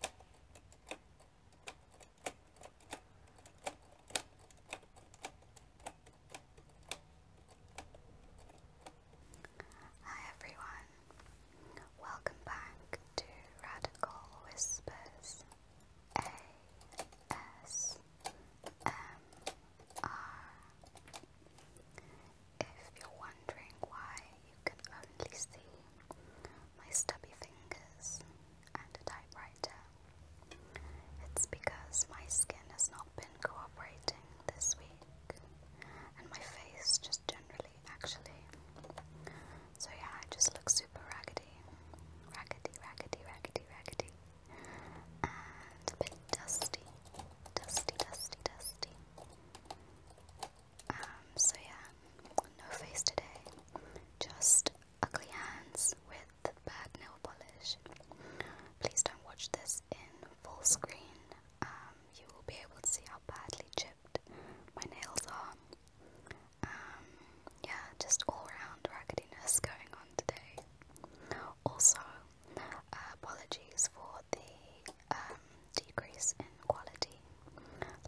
Hi everyone, welcome back to Radical Whispers ASMR. If you're wondering why you can only see my stubby fingers and a typewriter. It's because my skin has not been cooperating this week, and my face just generally, actually. So yeah, I just look super raggedy. Raggedy, raggedy, raggedy, raggedy. And a bit dusty. Dusty, dusty, dusty. Um, so yeah, no face today, just ugly hands with bad nail polish. Please don't watch this in full screen. Um, you will be able to see how badly chipped my nails are. Um, yeah, just all round raggediness going on today. Also, uh, apologies for the um, decrease in quality.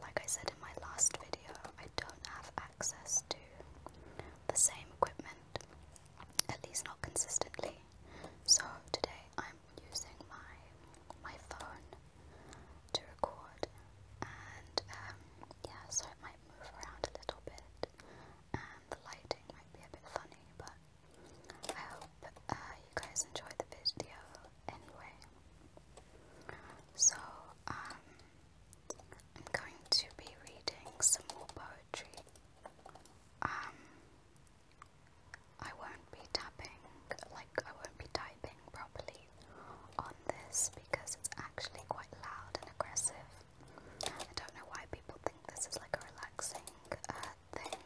Like I said in my last video, I don't have access to the same equipment, at least not consistently. So today I'm using my my phone to record, and um, yeah, so it might move around a little bit, and the lighting might be a bit funny, but I hope uh, you guys enjoyed the video anyway. So, um, I'm going to be reading some more poetry. Um, I won't be tapping, like, I won't be typing properly on this because it's actually quite loud and aggressive. I don't know why people think this is like a relaxing uh, thing.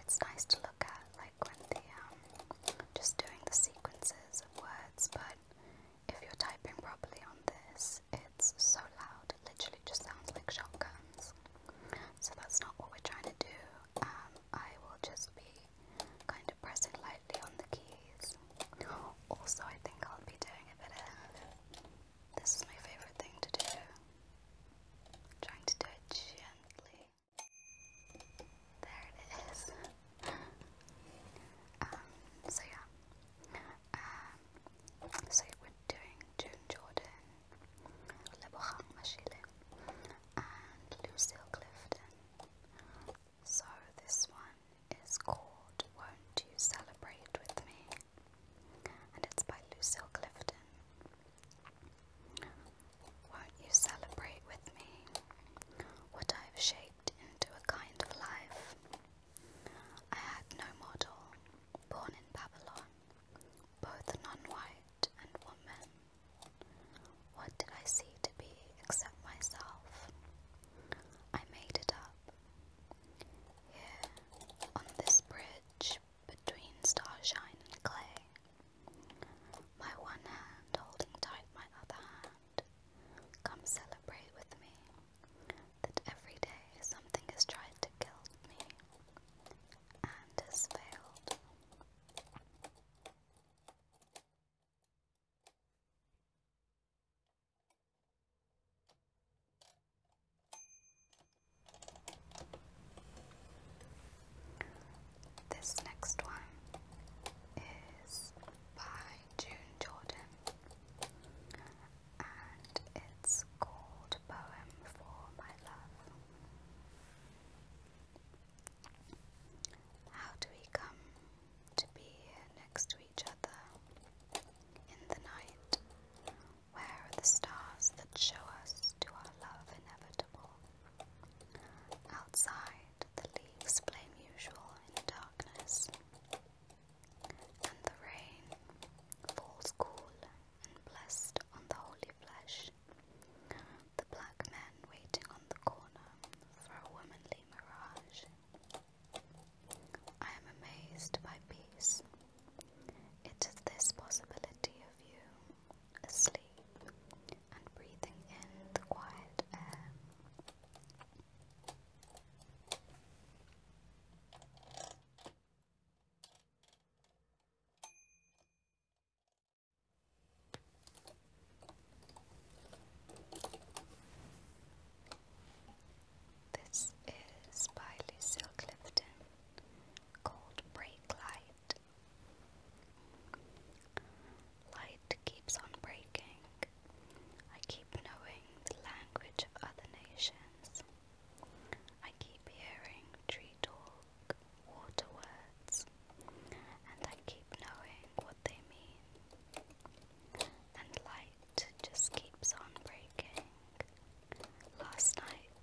It's nice to look at, like, when the, um, just doing the sequences of words, but if you're typing properly on this, it's so loud, it literally just sounds like shotguns. So that's not what we're trying to do. Um, I will just be kind of pressing lightly on the keys. Also, I think I'll be doing a bit of this is my favorite thing to do. Trying to do it gently. There it is. Um, so yeah. Um, so we're doing June Jordan, Lebohang Mashile, and Lucille Clifton. So this one is called Won't You Celebrate With Me? And it's by Lucille Clifton. Won't you celebrate with me what I have shaped into a kind of life? I had no model, born in Babylon, both non white and woman. What did I see to be except myself? I made it up. Here, on this bridge between starshine and clay, my one hand holding tight my other hand. Come celebrate with me that every day something has tried to kill me and has failed. This next one is by June Jordan and it's called Poem for My Love. How do we come to be here next to each other in the night? Where are the stars that show us to our love inevitable? Outside, the leaves blame usual in the darkness, and the rain falls cool and blessed on the holy flesh. The black men waiting on the corner for a womanly mirage. I am amazed by peace. It is this possibility of you, asleep, and breathing in the quiet air. This is by Lucille Clifton called Break light. keeps on breaking. I keep knowing the language of other nations. I keep hearing tree talk, water words, and I keep knowing what they mean. And light just keeps on breaking. Last night,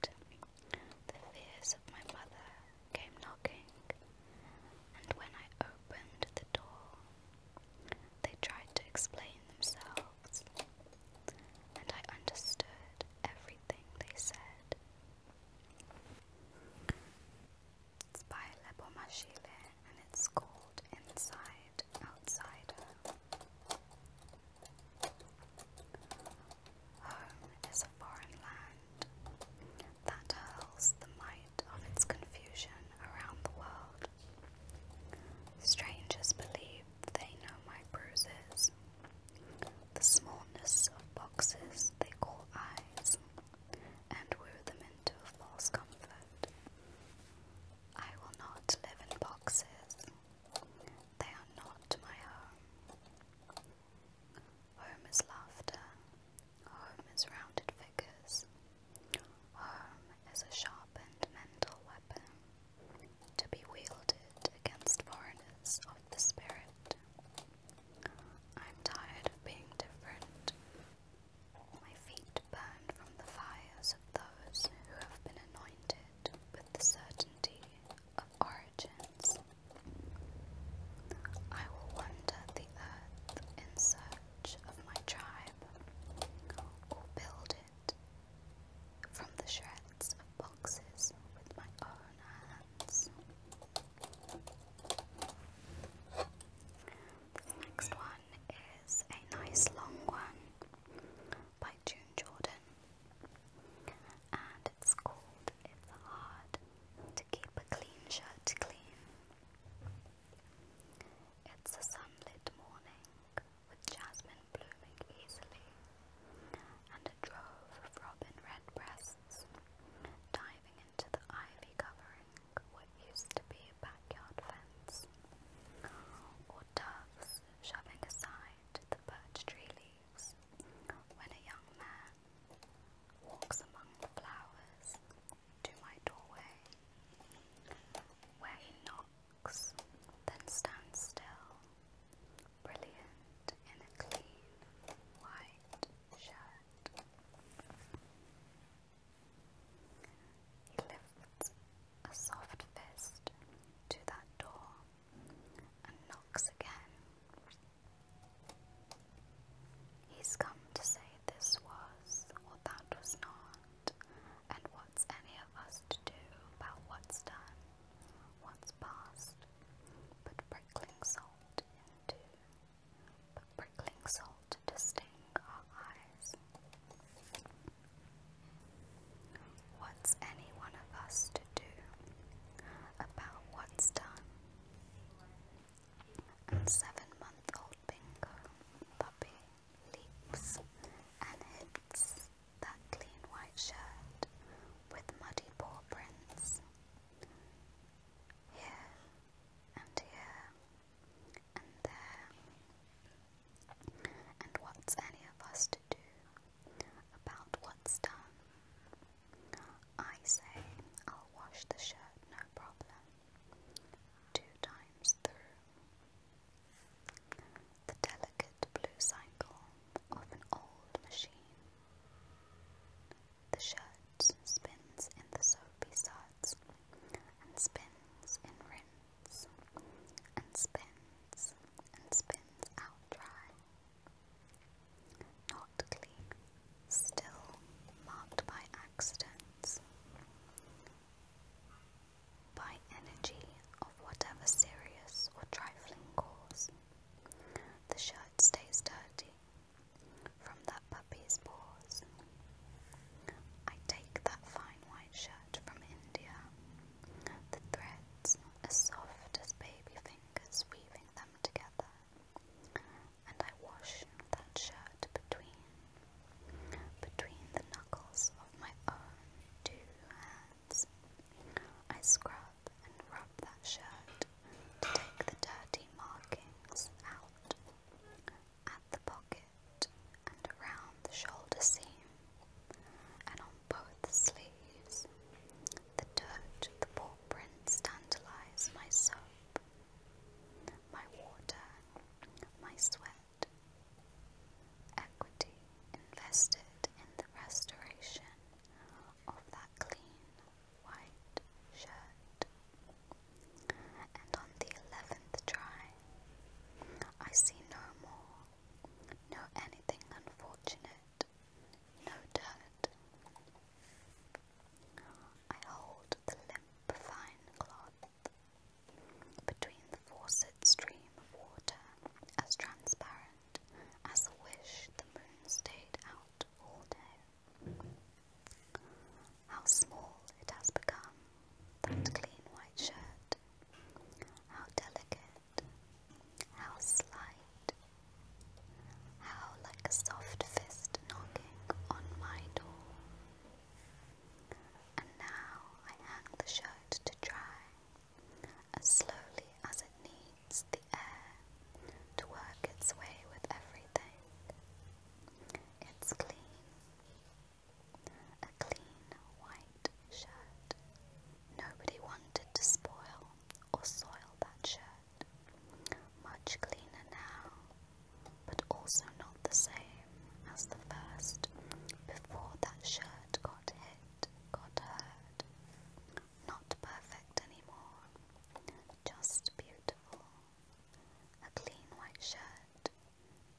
the fears of my mother came knocking, and when I opened the door, they tried to explain themselves, and I understood everything they said. It's by Lebomachile and it's called Inside Outsider. Home is a foreign land that hurls the might of its confusion around the world. Strangers believe they know my bruises, the smallness of boxes they call eyes, and woo them into false comfort. I will not live in boxes, they are not my home. Home is laughter. Home is rounded figures. Home is a sharpened mental weapon to be wielded against foreigners of the spirit. I'm tired of being different. My feet burn from the fires of those who have been anointed with the certainty of origins. I will wander the earth in search of my tribe, or build it from the shreds of boxes with my own hands. This next one is a nice long one by June Jordan, and it's called It's Hard to Keep a Clean Shirt Clean. It's a sunlit morning with jasmine blooming easily, and a drove of robin redbreasts diving into the ivy covering what used to be a backyard fence, or doves shoving aside the birch tree leaves when a young man walks among the flowers to my doorway, where he knocks, then stands still, brilliant in a clean white shirt. He lifts a soft fist to that door and knocks again. He's come to say this was, or that was not, and what's any of us to do about what's done, what's past, but prickling salt into, but prickling salt to sting our eyes. What's any one of us to do about what's done? and seven-month-old Bingo puppy leaps and hits that clean white shirt with muddy paw prints. Here and here and there. And what's any of us to do about what's done I say I'll wash the shirt no problem two times through. The delicate blue cycle of an old machine. The shirt spins in the soapy suds and spins in rinse and spins and spins out dry. Not Still marked by accidents. By energy of whatever serious or trifling cause. The shirt stays dirty from that puppy's paws. I take that fine white shirt from India. The threads as soft as baby fingers weaving them together and I wash that shirt between between the knuckles of my own two hands. I scrub and rub that shirt to take the dirty markings out at the pocket and around the shoulder seam and on both sleeves. The dirt, the paw prints tantalize my soap my water, my sweat, equity invested in the restoration of that clean white shirt. And on the eleventh try, I see no more, no anything unfortunate, no dirt. I hold the limp, fine cloth between the faucet stream of water, as transparent as a wish the moon stayed out all day. How small it has become, that clean white shirt. How delicate, how slight, how like a soft fist knocking on my door. And now I hang the shirt to dry, as slowly as it needs the air to work its way with everything. It's clean. A clean white shirt. Nobody wanted to spoil or soil that shirt. Much cleaner now, but also not the same as the first before that shirt got hit, got hurt. Not perfect anymore, just beautiful. A clean white shirt.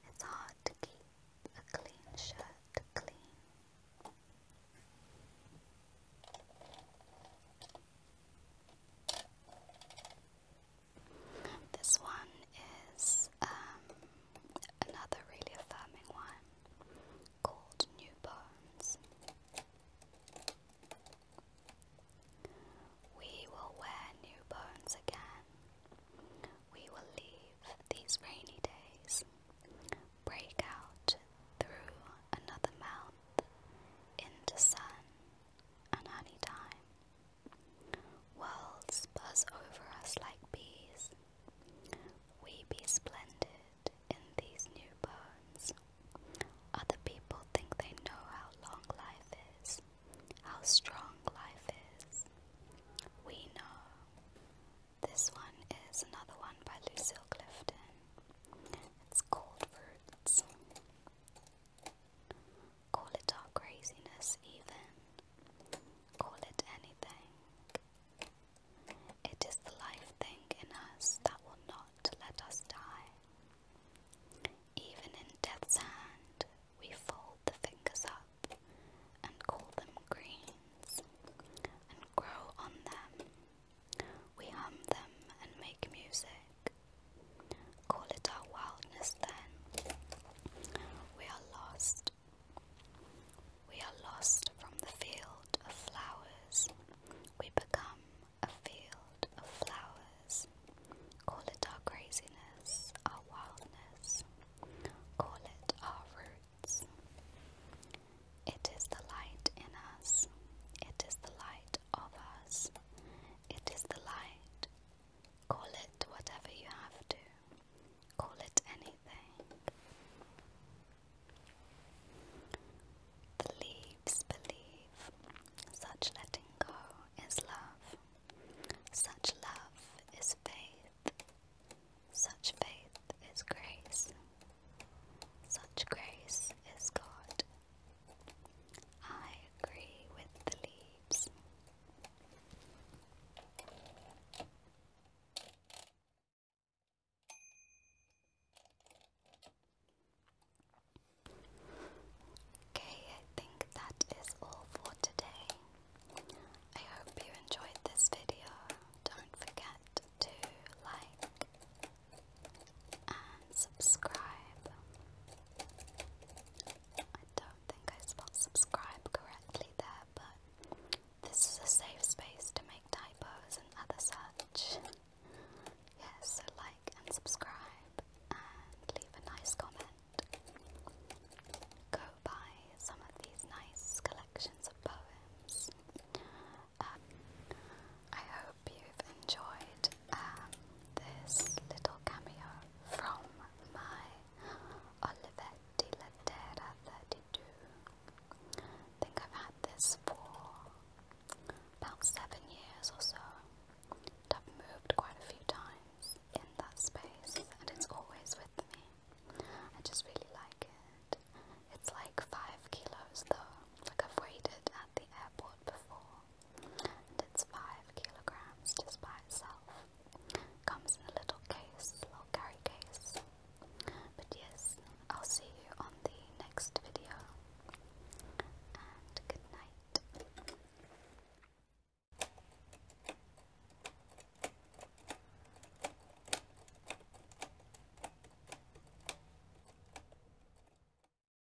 It's hard to keep a clean shirt clean. This one is um, another really affirming one called New Bones. We will wear new bones again. We will leave these rainy days, break out through another mouth into sun and any time. Worlds buzz over us like bees. We be splendid in these new bones. Other people think they know how long life is, how strong life is. We know. This one is another one by Lucille Clifton. It's called Roots. Call it our craziness, even. Call it anything. It is the life thing in us that will not let us die. Even in death's hand, we fold the fingers up and call them greens and grow on them. We hum them and make music. Call it our wildness then. We are lost. We are lost from the field of flowers. We become a field of flowers. Call it our craziness, our wildness. Call it our roots. It is the light in us. It is the light of us. It is the light. Call it whatever you have to. Call it anything. The leaves believe. Such letting go is love. Such love is faith. Such faith is grace. Such grace is God. I agree with the leaves. Okay, I think that is all for today. I hope you enjoyed this video. Don't forget to like, and subscribe. I don't think I spelled subscribe correctly there, but this is a safe space to make typos and other such. Yes, so like and subscribe and leave a nice comment. Go buy some of these nice collections of poems. Um, I hope you've enjoyed uh, this little cameo from my Olivetti Lettera 32. think I've had this for about seven years or so. I've moved quite a few times in that space, and it's always with me. I just really like it. It's like five kilos though. Like I've weighed it at the airport before, it's 5 kilograms just by itself. Comes in a little case, little carry case. But yes, I'll see you on the next video. And good night.